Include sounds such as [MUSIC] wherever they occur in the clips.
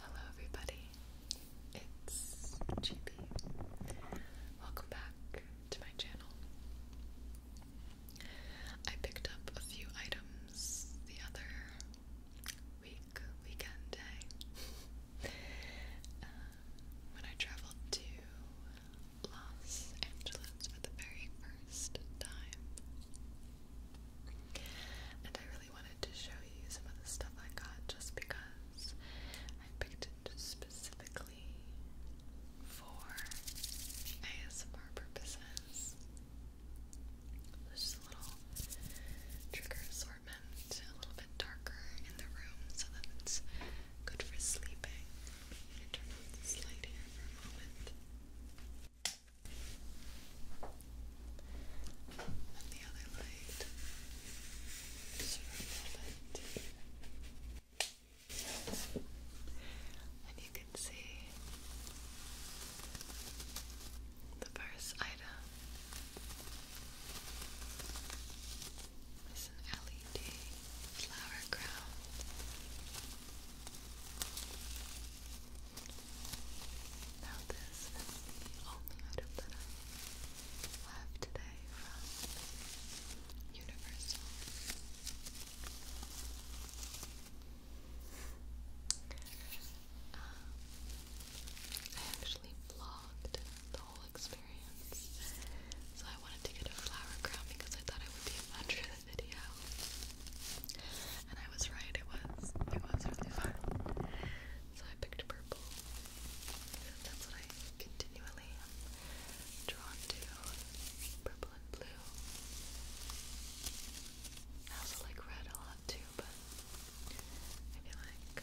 Hello, everybody. It's GB. Welcome back to my channel. I picked up a few items the other week, weekend day, [LAUGHS] uh, when I traveled to Los Angeles for the very first time. And I really wanted to show you some of the stuff I got just because I picked it specifically for ASMR purposes. There's a little trigger assortment, a little bit darker in the room so that it's good for sleeping. I'm going this for a moment. And the other light, just a moment. And you can see the first item is an LED flower crown. Now this is only item that I have today from Universal. Um, I actually vlogged the whole experience, so I wanted to get a flower crown because I thought it would be a fun and I was right, it was it was really fun. So I picked purple. that's what I continually am drawn to. Purple and blue. I also like red a lot too, but I feel like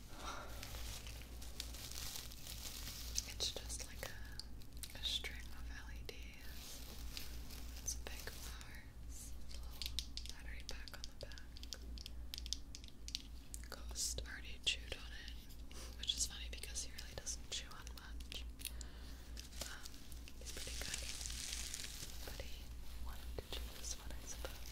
It's just like a, string of LEDs. It's a big flower. battery pack on the back. Ghost already chewed on it, which is funny because he really doesn't chew on much. Um, he's pretty good. But he wanted to choose what I suppose.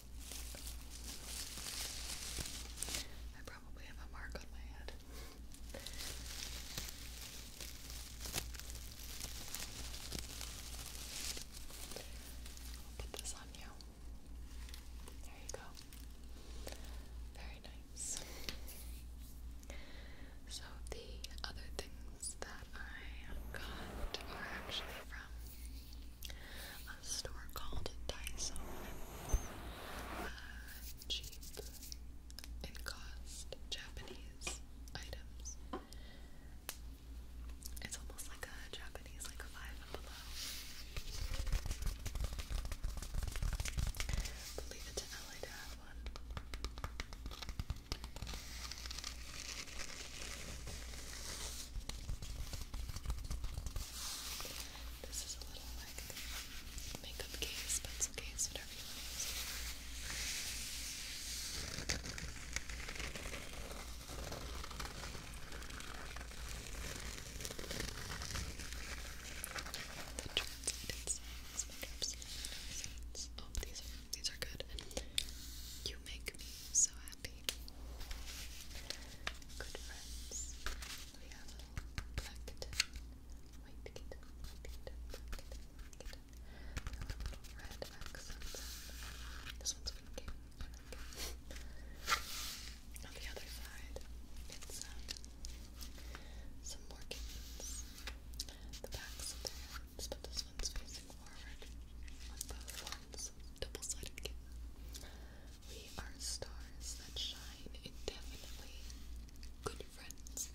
I probably have a mark on my head. put this on you. There you go. Very nice. So, the other things that I got are actually from a store called Daiso, uh, cheap and cost Japanese items. It's almost like a Japanese, like a five and below. But leave it LA to have one. This is a little like makeup case, pencil case, whatever you want The translated signs make absolutely no sense. Oh, these are these are good. You make me so happy. Good friends. We have a black kitten, white kitten, white kitten, red accent. This one's winking. On the other side, it's uh, some more kittens. The backs of their but this one's facing forward both ones. Double-sided We are stars that shine indefinitely. Good friends.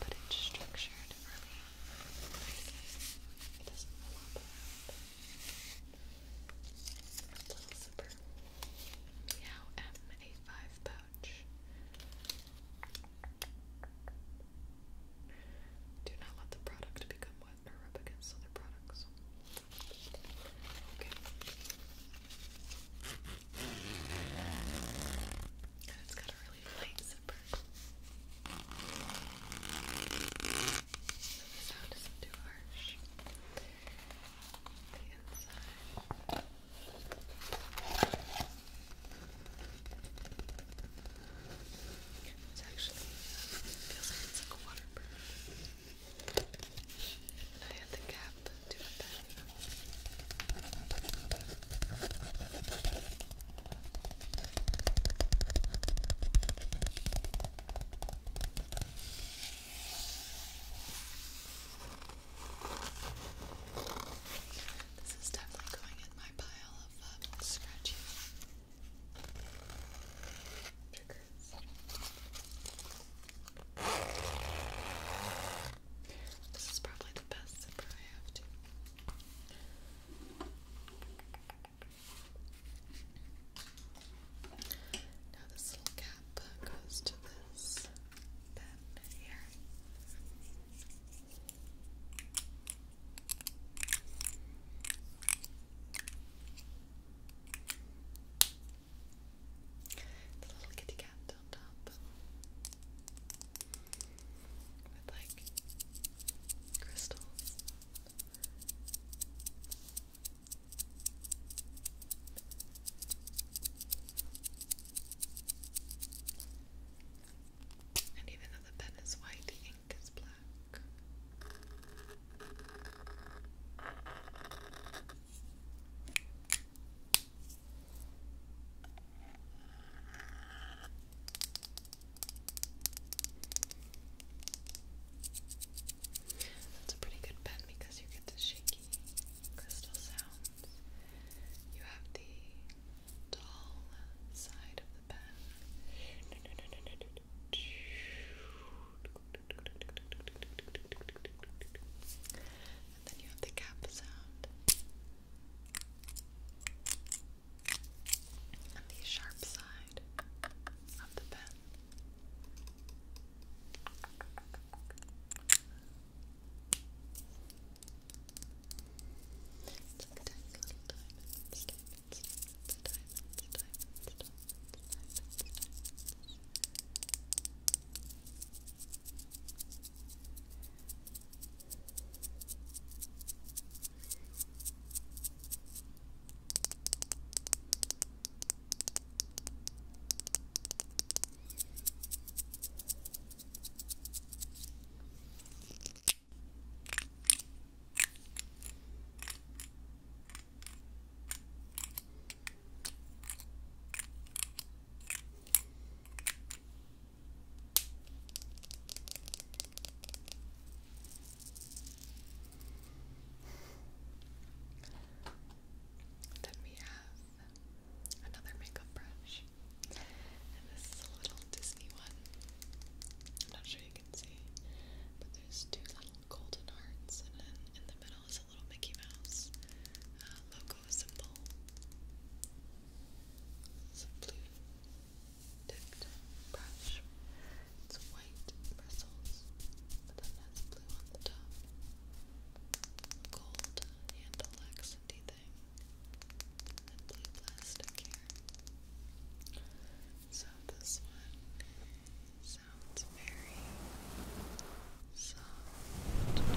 But it's structured It doesn't flop around. It's a little zipper. Meow M a five bow pouch. Do not let the product become wet or rub against other products. Okay. And it's got a really light zipper. So the sound isn't too harsh. The inside. It's actually it feels like it's like a water bird. And I had the cap to it back. I this is definitely going in my pile of um, scratchy triggers. This is probably the best zipper I have Now this little cap uh, goes to this pen here. The little kitty cat on top. With like crystals. And even though the pen is white, the ink is black. That's a pretty good pen because you get to shape funky crystal sounds. You have the dull side of the pen. And then you have the cap sound. And the sharp side of the pen. Look at those little diamonds, diamonds, diamonds, diamonds, diamonds, diamonds, diamonds, diamonds. Then we have another makeup brush. And this is a little Disney one. I'm not sure you can see, but there's two little golden hearts, and then in the middle is a little Mickey Mouse uh, logo symbol. It's a blue tipped brush. It's white bristles, but then that's blue on the top gold handle accenty thing and blue plastic here. So this one sounds very Soft,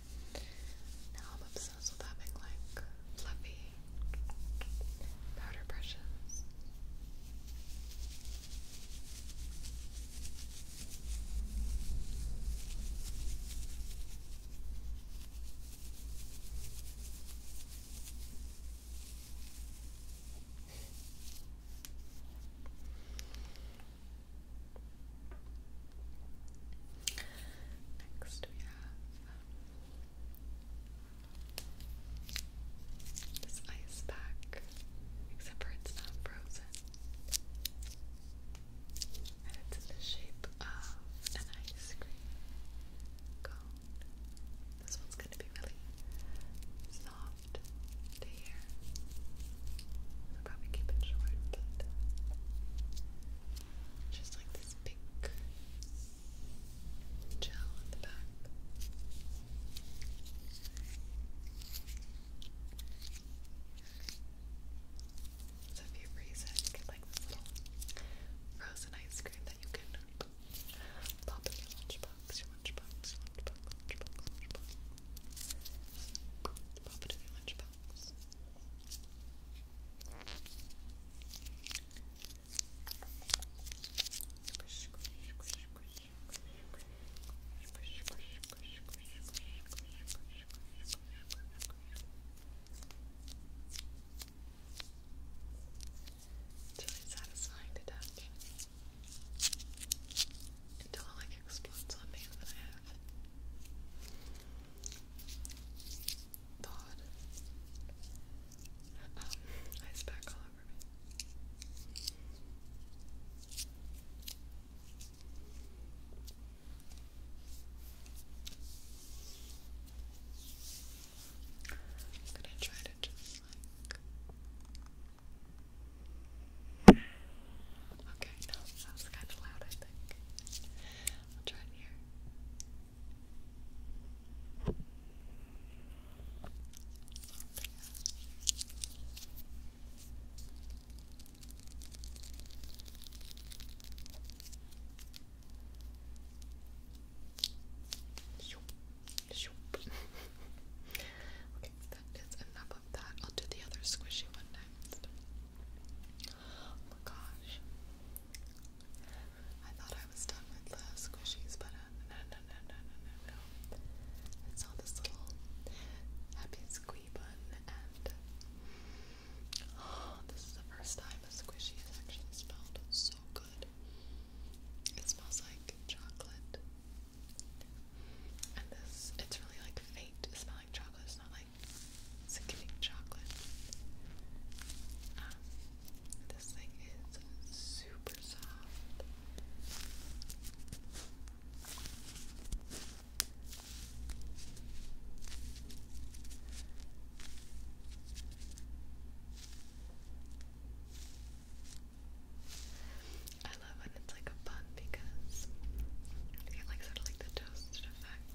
Now I'm obsessed with having like fluffy powder brushes. Next we have this ice pack, except for it's not frozen. And it's in the shape of an ice cream cone. This one's going to be really soft to hear. I'll probably keep it short, just like this pink gel at the back. So if you freeze it, you like frozen ice cream that you can pop Pop it in your lunchbox really satisfying to touch until it like explodes on me and then I Pod. Um, ice pack all over I'm gonna try to just like. Okay, that was kind of loud, I think. I'll try it here. [LAUGHS] okay, that is enough of that. I'll do the other squishy one next. Oh my gosh. I thought I was done with the squishies, but uh, no, no, no, no, no, no, no. I saw this little happy squee bun, and oh, this is the first time a squishy has actually smelled so good. It smells like chocolate. And this, it's really like faint smelling chocolate. It's not like chocolate. Um, this thing is super soft. I love when it's like a bun because it like sort of like the toasted effect.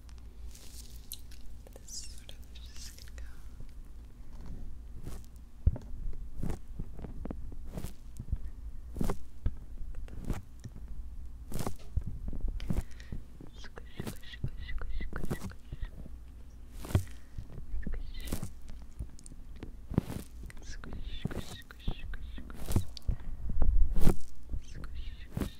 This sort of just gonna go. Squish, squish, squish, squish, squish, squish. Squish, squish, squish, squish, squish. Squish, squish, squish, squish, squish.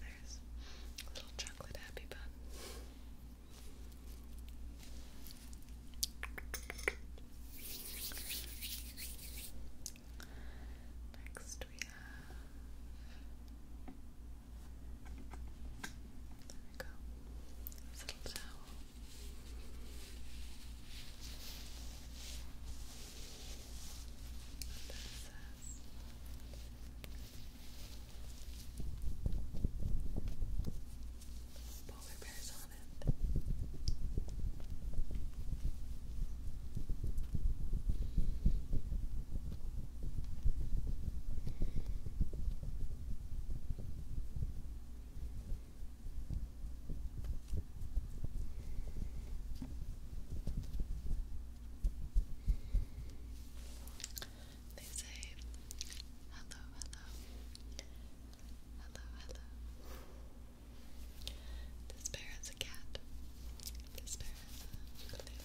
there's a little chocolate happy bun. Next we have there we go. little towel. And then it says polar bears on it. They say hello, hello, hello, hello. This bear is a cat. This bear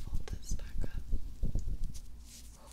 fold this back up. Oh.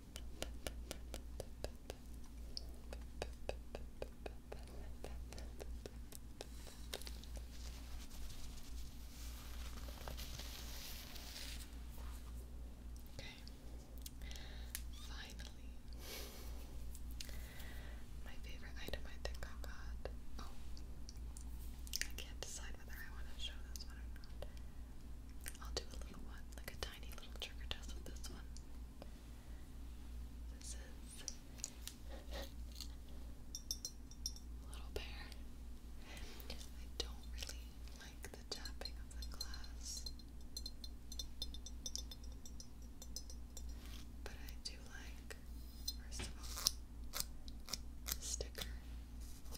Okay. Finally, my favorite item I think I got. Oh, I can't decide whether I want to show this one or not. I'll do a little one, like a tiny little trigger test with this one. This is Little Bear. I don't really like the tapping of the glass, but I do like, first of all, the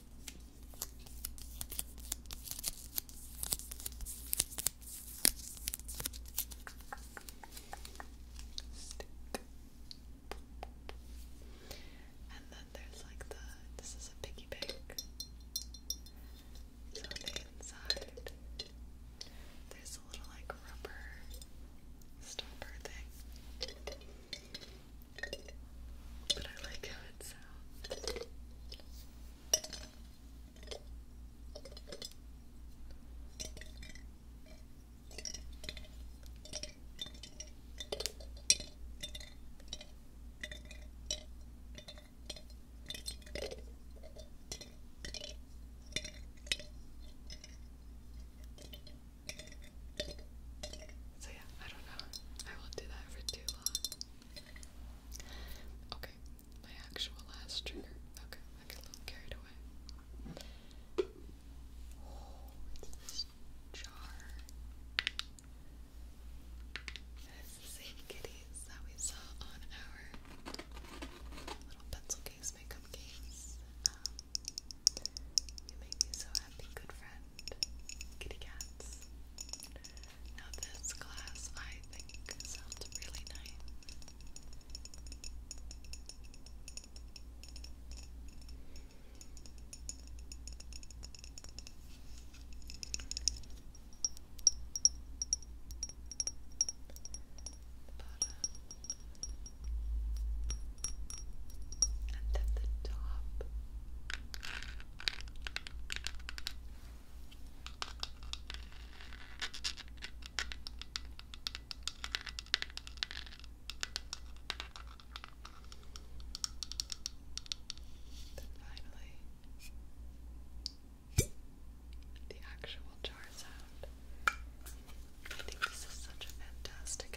Stick. And then there's like the this is a piggy bank. So inside there's a little like rubber stopper thing. But I like how it sounds. So yeah, I don't know. I won't do that for too long. Okay, my actual last trigger. Okay, I get a little carried away. Oh, it's this jar. And the same kitties that we saw on our little pencil case makeup case. Um, you make me so happy, good friend kitty cats. Now this glass I think sounds really nice. Bottom. And then the top. Then finally, the actual jar sound. I think this is such a fantastic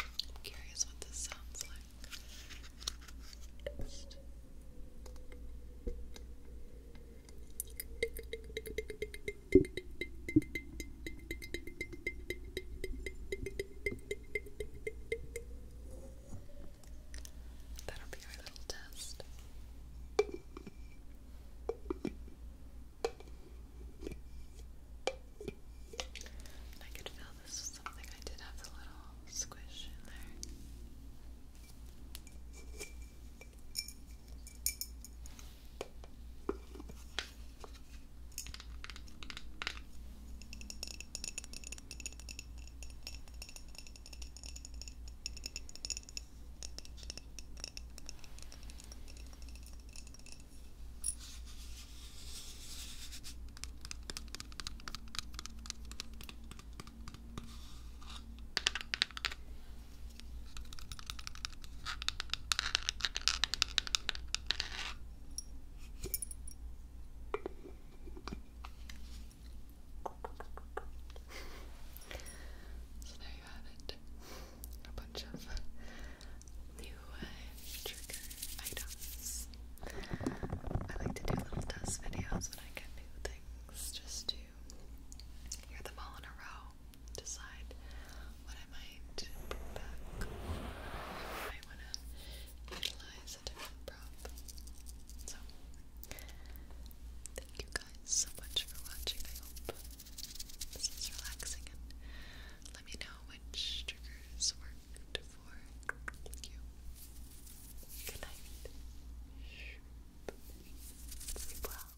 I'm curious what this sounds like. That'll be our little test. And I could feel this was something I did have the little squish in there. So there you have it. A bunch of new trigger items. I like to do little test videos when I get new things just to hear them all in a row, decide what I might bring back, I want to utilize different prop. So, thank you guys so much for watching. I hope this is relaxing and let me know which triggers work for you. Good night. Sleep well.